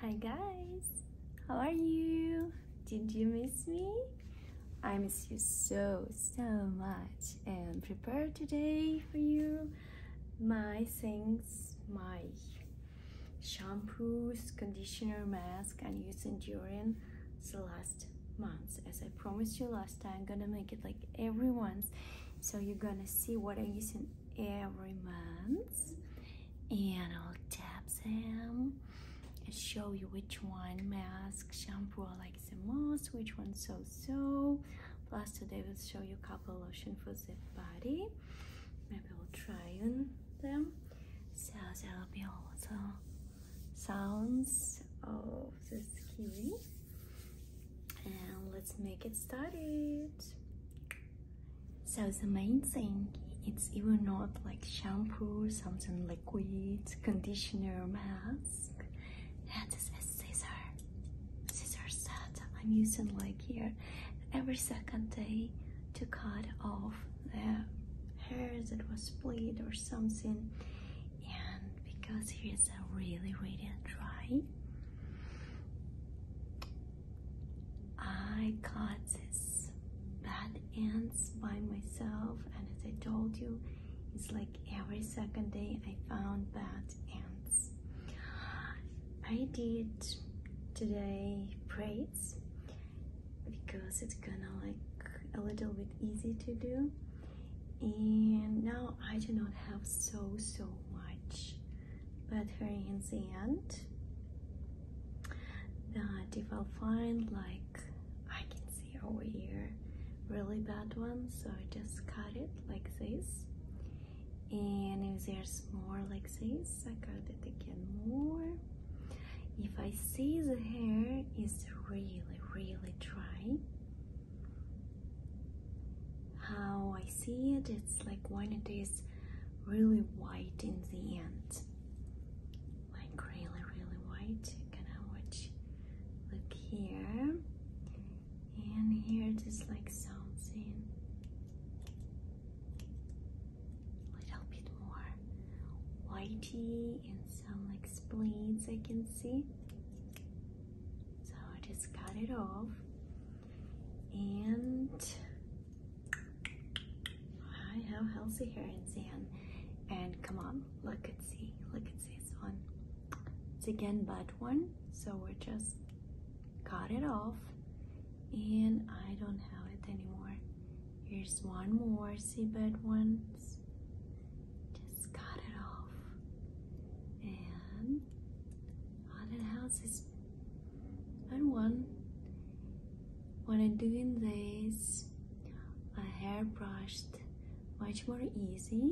Hi guys, how are you? Did you miss me? I miss you so, so much and prepared today for you my things, my shampoos, conditioner, mask I'm using during the last months. As I promised you last time, I'm gonna make it like every month. So you're gonna see what I'm using every month. And I'll tap them and show you which one mask, shampoo I like the most, which one so-so. Plus today we'll show you a couple lotion for the body. Maybe we'll try and them. So there'll be also sounds of this kiwi. And let's make it started. So the main thing, it's even not like shampoo, something liquid, conditioner, mask. and That is a scissor. Scissors that I'm using like here every second day to cut off the hair that was split or something and because here is a really really dry I cut these bad ends by myself and as I told you it's like every second day I found bad ends I did today braids because it's gonna like a little bit easy to do and now I do not have so so much but here in the end that if i find like I can see over here really bad one so I just cut it like this and if there's more like this I cut it again more if I see the hair is really really dry how I see it it's like when it is really white in the end like really really white you can watch look here and here just like something little bit more whitey and some like spleens I can see. So I just cut it off and I have healthy here in the And come on, look at see, look at this one. It's again bad one, so we're just cut it off and I don't have it anymore. Here's one more seabed ones. Just cut it off. And haunted houses and one. When I'm doing this, my hair brushed much more easy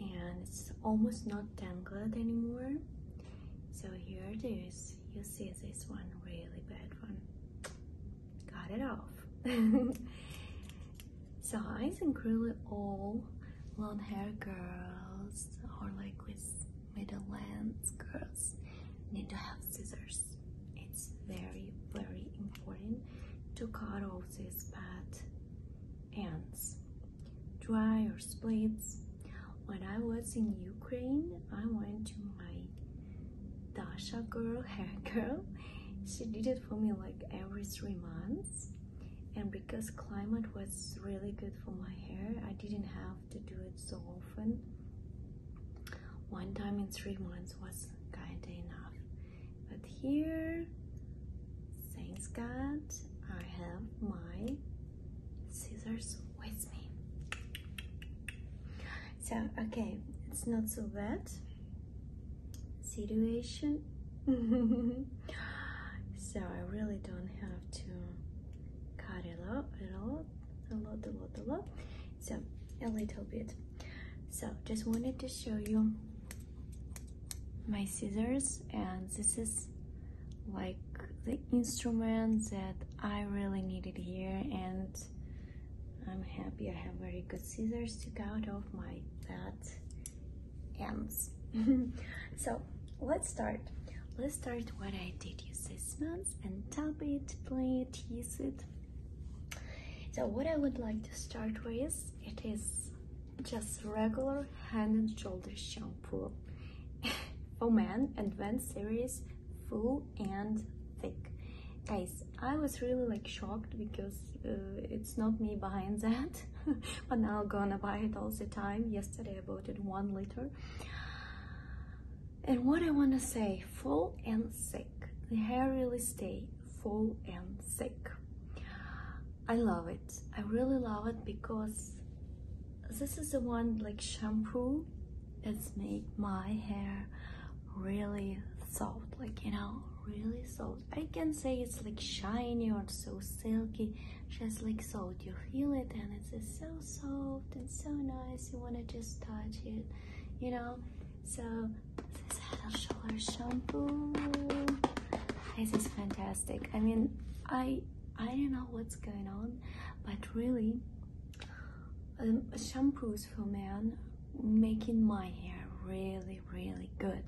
and it's almost not tangled anymore so here it is you see this one really bad one Cut it off so i think really all long hair girls or like with middle length girls need to have scissors it's very very important to cut off this part ants, dry or splits. When I was in Ukraine, I went to my Dasha girl, hair girl. She did it for me like every three months. And because climate was really good for my hair, I didn't have to do it so often. One time in three months was kind enough. But here, thanks God, I have my scissors with me. So, okay, it's not so bad situation. so I really don't have to cut it up at all, a lot, a lot, a lot. So a little bit. So just wanted to show you my scissors and this is like the instrument that I really needed here and I'm happy I have very good scissors to cut off my bad ends. so let's start. Let's start what I did you this month and tap it, play it, use it. So what I would like to start with, it is just regular hand and shoulder shampoo Oh man, advanced series full and thick guys i was really like shocked because uh, it's not me buying that but now gonna buy it all the time yesterday i bought it one liter and what i want to say full and thick the hair really stay full and thick. I love it. I really love it because this is the one like shampoo it's make my hair really soft like you know really soft i can say it's like shiny or so silky just like soft you feel it and it's just so soft and so nice you want to just touch it you know so this is head and shoulder shampoo. This is fantastic. I mean, I I don't know what's going on, but really, um, shampoos for men making my hair really really good.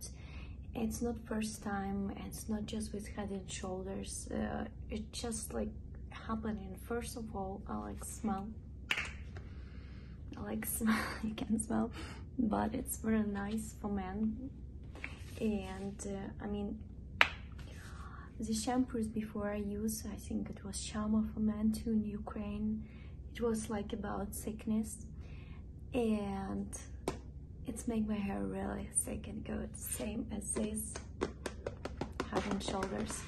It's not first time. It's not just with head and shoulders. Uh, it's just like happening. First of all, I like smell I like smell you can smell but it's very nice for men and uh, i mean the shampoos before i use i think it was shama for men too in ukraine it was like about sickness and it's make my hair really thick and good same as this head and shoulders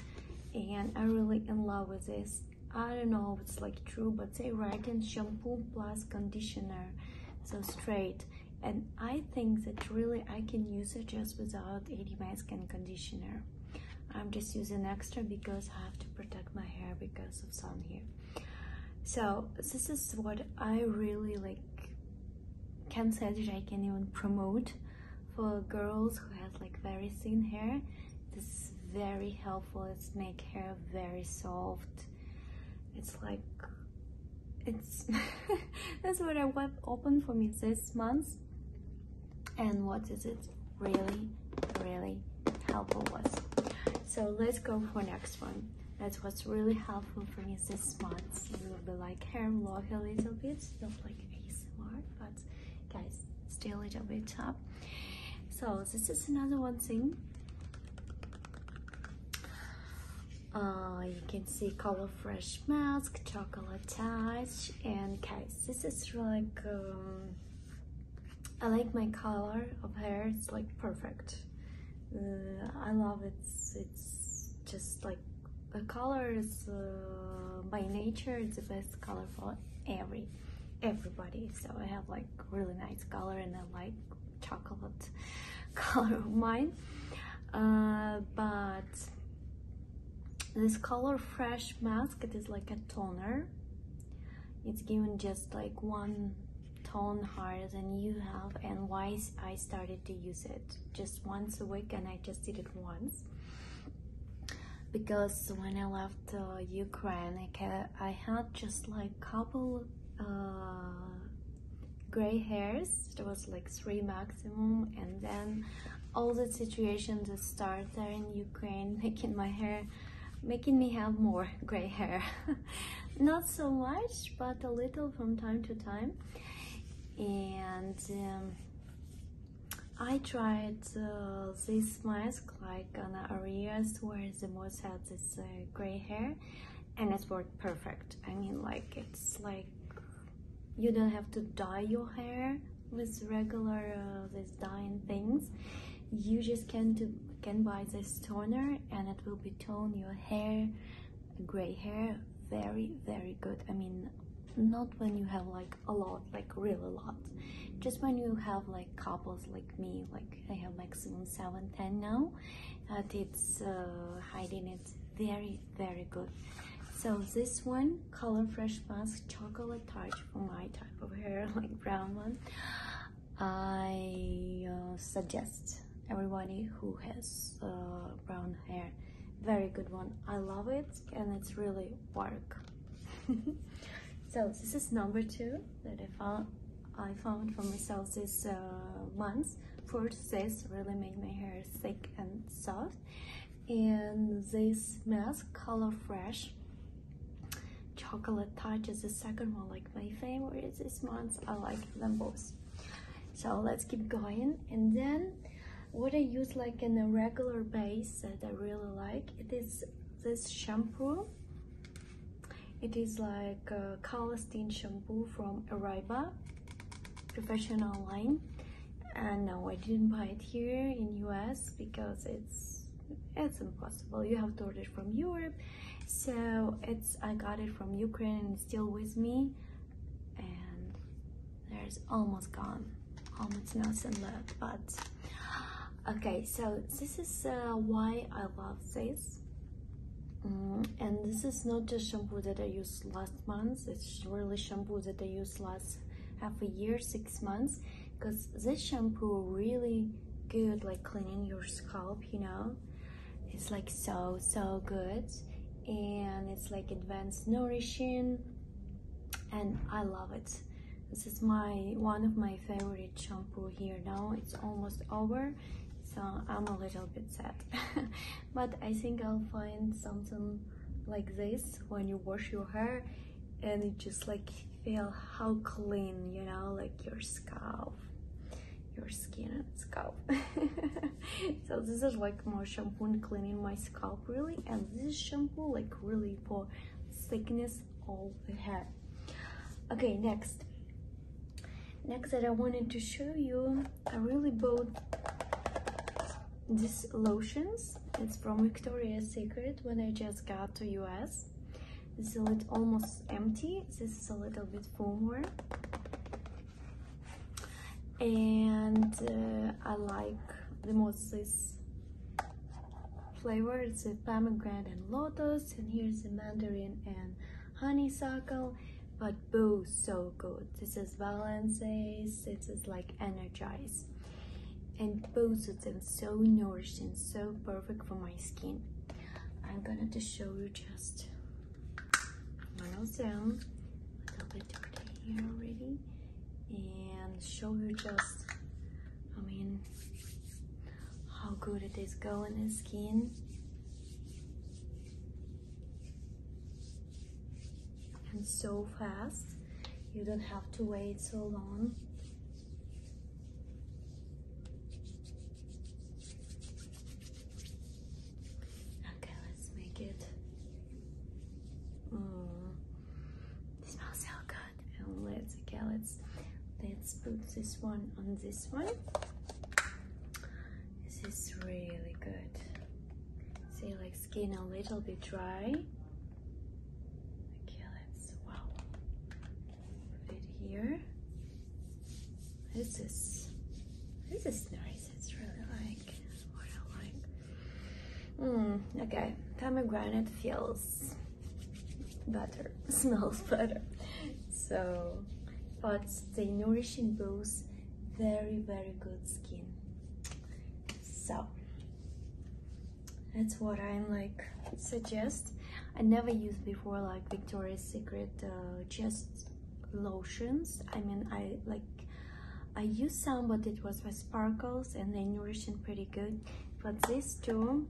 and i'm really in love with this I don't know if it's like true but they reckon shampoo plus conditioner so straight and I think that really I can use it just without any mask and conditioner I'm just using extra because I have to protect my hair because of sun here so this is what I really like can say that I can even promote for girls who has like very thin hair this is very helpful. It's make hair very soft. It's like it's that's what I want open for me this month. And what is it really, really helpful was. So let's go for next one. That's what's really helpful for me this month. It will be like hair look a little bit, not like ASMR, but guys still a little bit up so this is another one thing uh, you can see color fresh mask chocolate touch and guys this is like um, I like my color of hair it's like perfect uh, I love it it's just like the color is uh, by nature the best color for every everybody. So I have like really nice color and I like chocolate color of mine. Uh, but this color fresh mask, it is like a toner. It's giving just like one tone harder than you have and why I started to use it just once a week and I just did it once because when I left uh, Ukraine, I, had just like couple uh, gray hairs. There was like three maximum, and then all the situations that started in Ukraine, making my hair, making me have more gray hair. Not so much, but a little from time to time, and. Um, I tried uh, this mask like on areas where the most had this uh, gray hair and it worked perfect. I mean like it's like you don't have to dye your hair with regular uh, this dyeing things. You just can do can buy this toner and it will be tone your hair, gray hair, very very good. I mean not when you have like a lot like really a lot just when you have like couples like me like i have maximum 710 now but it's uh, hiding it very very good so this one color fresh mask chocolate touch for my type of hair like brown one i uh, suggest everybody who has uh, brown hair very good one i love it and it's really work. so this is number two that I found I found for myself this uh, month. First, this really make my hair thick and soft, and this mask color fresh chocolate touch is the second one like my favorite this month i like them both so let's keep going and then what I use like in a regular base that I really like it is this shampoo it is like a color stain shampoo from Arriva professional line and no I didn't buy it here in US because it's it's impossible you have to order from Europe so it's I got it from Ukraine and still with me and there's almost gone how much notes and left but okay so this is uh, why I love this mm, and this is not the shampoo that I used last month it's really shampoo that I used last half a year six months because this shampoo really good like cleaning your scalp you know it's like so so good and it's like advanced nourishing and I love it. This is my one of my favorite shampoo here now. It's almost over, so I'm a little bit sad. but I think I'll find something like this when you wash your hair and you just like feel how clean, you know, like your scalp your skin and scalp so this is like my shampoo cleaning my scalp really and this shampoo like really for thickness of the hair okay next next that i wanted to show you i really bought these lotions it's from victoria's secret when i just got to us this is almost empty this is a little bit full more and uh, I like the most this flavor it's a uh, pomegranate and lotus and here's the mandarin and honeysuckle but boo so good this is balances is like energize and both of them so nourishing so perfect for my skin i'm gonna to show you just one of a little bit dirty here already and show you just I mean how good it is going in the skin and so fast you don't have to wait so long Okay, let's make it. Mm. smells so good. And oh, let's okay, let's let's put this one on this one. This is really good. See, like skin a little bit dry. Okay, let's wow. Put it here. This is this is nice it's really like what I like. Hmm, okay, pomegranate feels better, smells better. So, but they nourishing both very, very good skin. So, that's what i like suggest. I never used before like Victoria's Secret just. Uh, lotions i mean i like i used some but it was with sparkles and they nourishing pretty good but this too.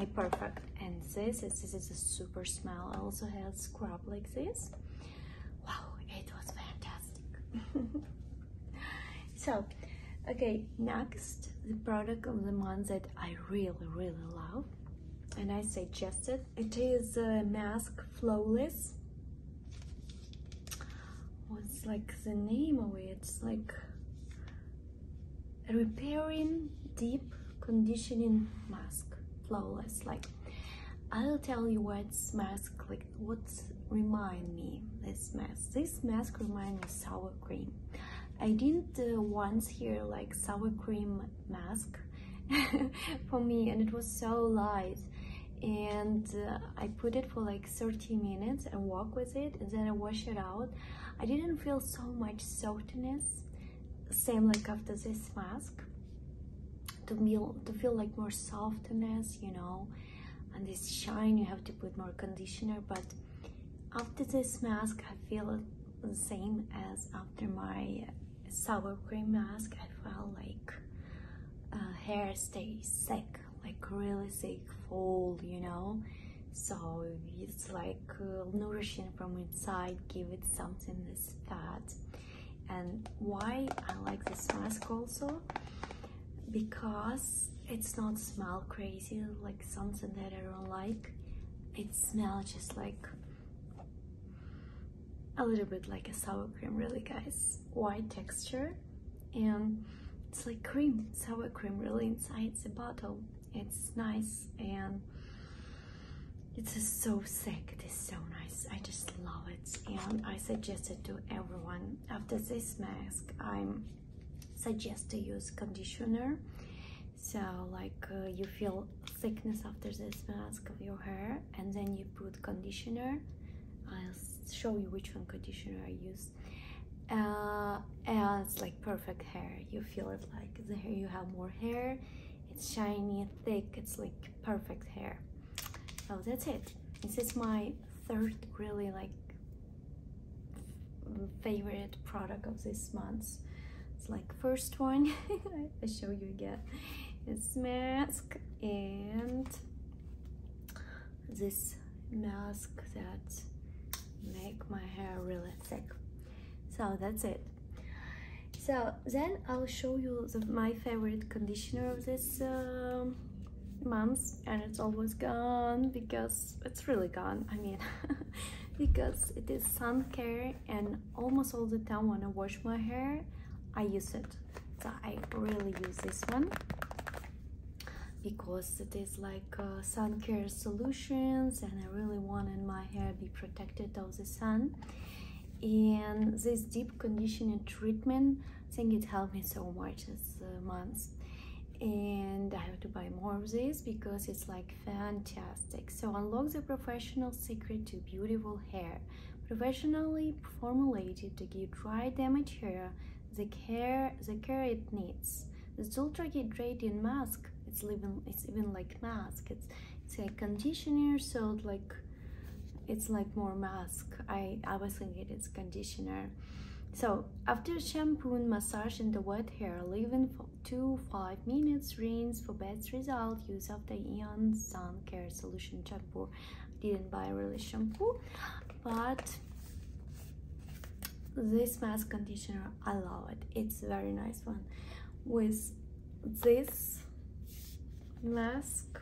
a perfect and this is this is a super smell also has scrub like this wow it was fantastic so okay next the product of the month that i really really love and i suggest it. It is a Mask Flawless. What's like the name of it? It's like repairing deep conditioning mask flawless like i'll tell you what's mask like what remind me this mask this mask remind me sour cream i didn't uh, once hear like sour cream mask for me and it was so light and uh, I put it for like 30 minutes and walk with it and then I wash it out I didn't feel so much softness same like after this mask to feel to feel like more softness you know and this shine you have to put more conditioner but after this mask I feel the same as after my sour cream mask, I felt like uh, hair stays sick, like really sick, full, you know. So it's like uh, nourishing from inside, give it something that's fat. And why I like this mask also, because it's not smell crazy, like something that I don't like. It smells just like a little bit like a sour cream really guys white texture and it's like cream sour cream really inside the bottle it's nice and it's so thick it is so nice i just love it and i suggest it to everyone after this mask i'm suggest to use conditioner so like uh, you feel thickness after this mask of your hair and then you put conditioner i'll show you which one conditioner i use uh, and it's like perfect hair you feel it like the hair you have more hair it's shiny thick it's like perfect hair so that's it this is my third really like favorite product of this month it's like first one, I show you again. this mask and this mask that make my hair really thick. So that's it. So then I'll show you my favorite conditioner of this uh, month and it's always gone because it's really gone, I mean, because it is sun care and almost all the time when I wash my hair, I use it. So I really use this one because it is like uh, sun care solutions and I really wanted my hair be protected of the sun and this deep conditioning treatment I think it helped me so much as uh, months. and I have to buy more of this because it's like fantastic, So unlock the professional secret to beautiful hair. Professionally formulated to give dry damaged hair the care the care it needs. This ultra hydrating mask, it's even it's even like mask. It's it's a conditioner, so like it's like more mask. I, I was thinking it's conditioner. So after shampoo massage in the wet hair, leaving for. Two 5 minutes rinse for best result use of the Eon Sun Care Solution shampoo didn't buy really shampoo but this mask conditioner I love it it's very nice one with this mask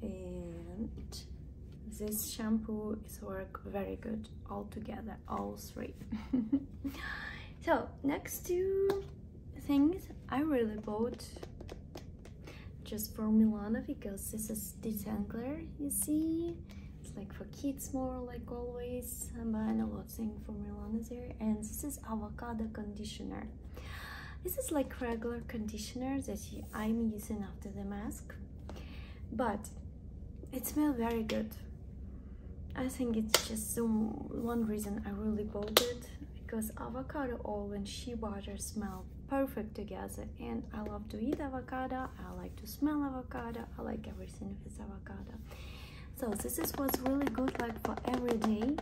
and this shampoo is work very good all together all three. so next two things I really bought just for Milana because this is detangler, you see. It's like for kids more like always. I'm buying a lot of things for Milana there. And this is avocado conditioner. This is like regular conditioner that I'm using after the mask but it smells very good I think it's just some one reason I really bought it because avocado oil and shea butter smell perfect together and I love to eat avocado I like to smell avocado I like everything with avocado so this is what's really good like for every day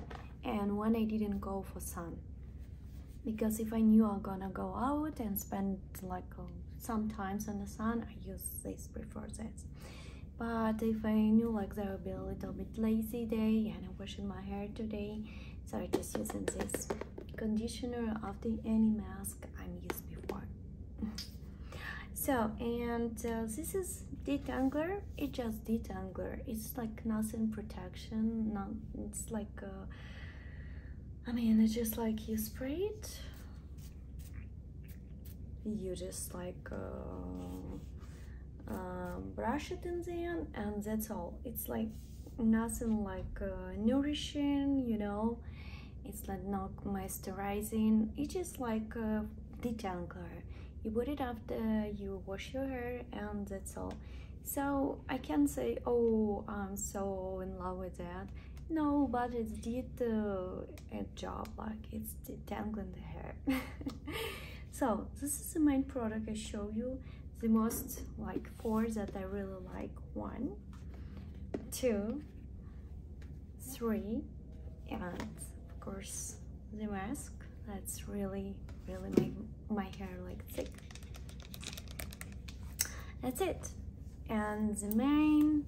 and when I didn't go for sun because if I knew I'm gonna go out and spend like uh, sometimes in the sun I use this, before that. But if I knew like there will be a little bit lazy day and I'm washing my hair today, so i just using this conditioner after any mask I'm used before. so and uh, this is detangler. It just detangler. It's like nothing protection. Not it's like uh, I mean it's just like you spray it you just like uh, uh, brush it in the end and that's all it's like nothing like uh, nourishing you know it's like not moisturizing it's just like a detangler you put it after you wash your hair and that's all so i can say oh i'm so in love with that no but it's did uh, a job like it's detangling the hair so this is the main product i show you the most like four that i really like one two three and of course the mask that's really really make my hair like thick that's it. And the main,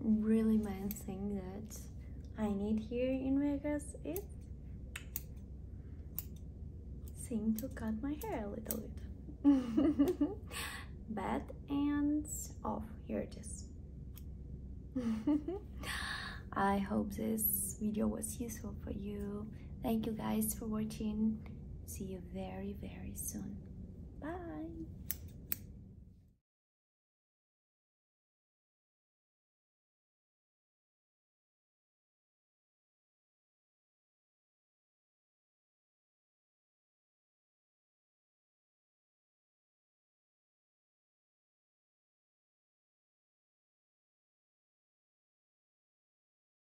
really main thing that I need here in Vegas is thing to cut my hair a little bit. Bad and off, here it is. I hope this video was useful for you Thank you guys for watching. See you very, very soon. Bye.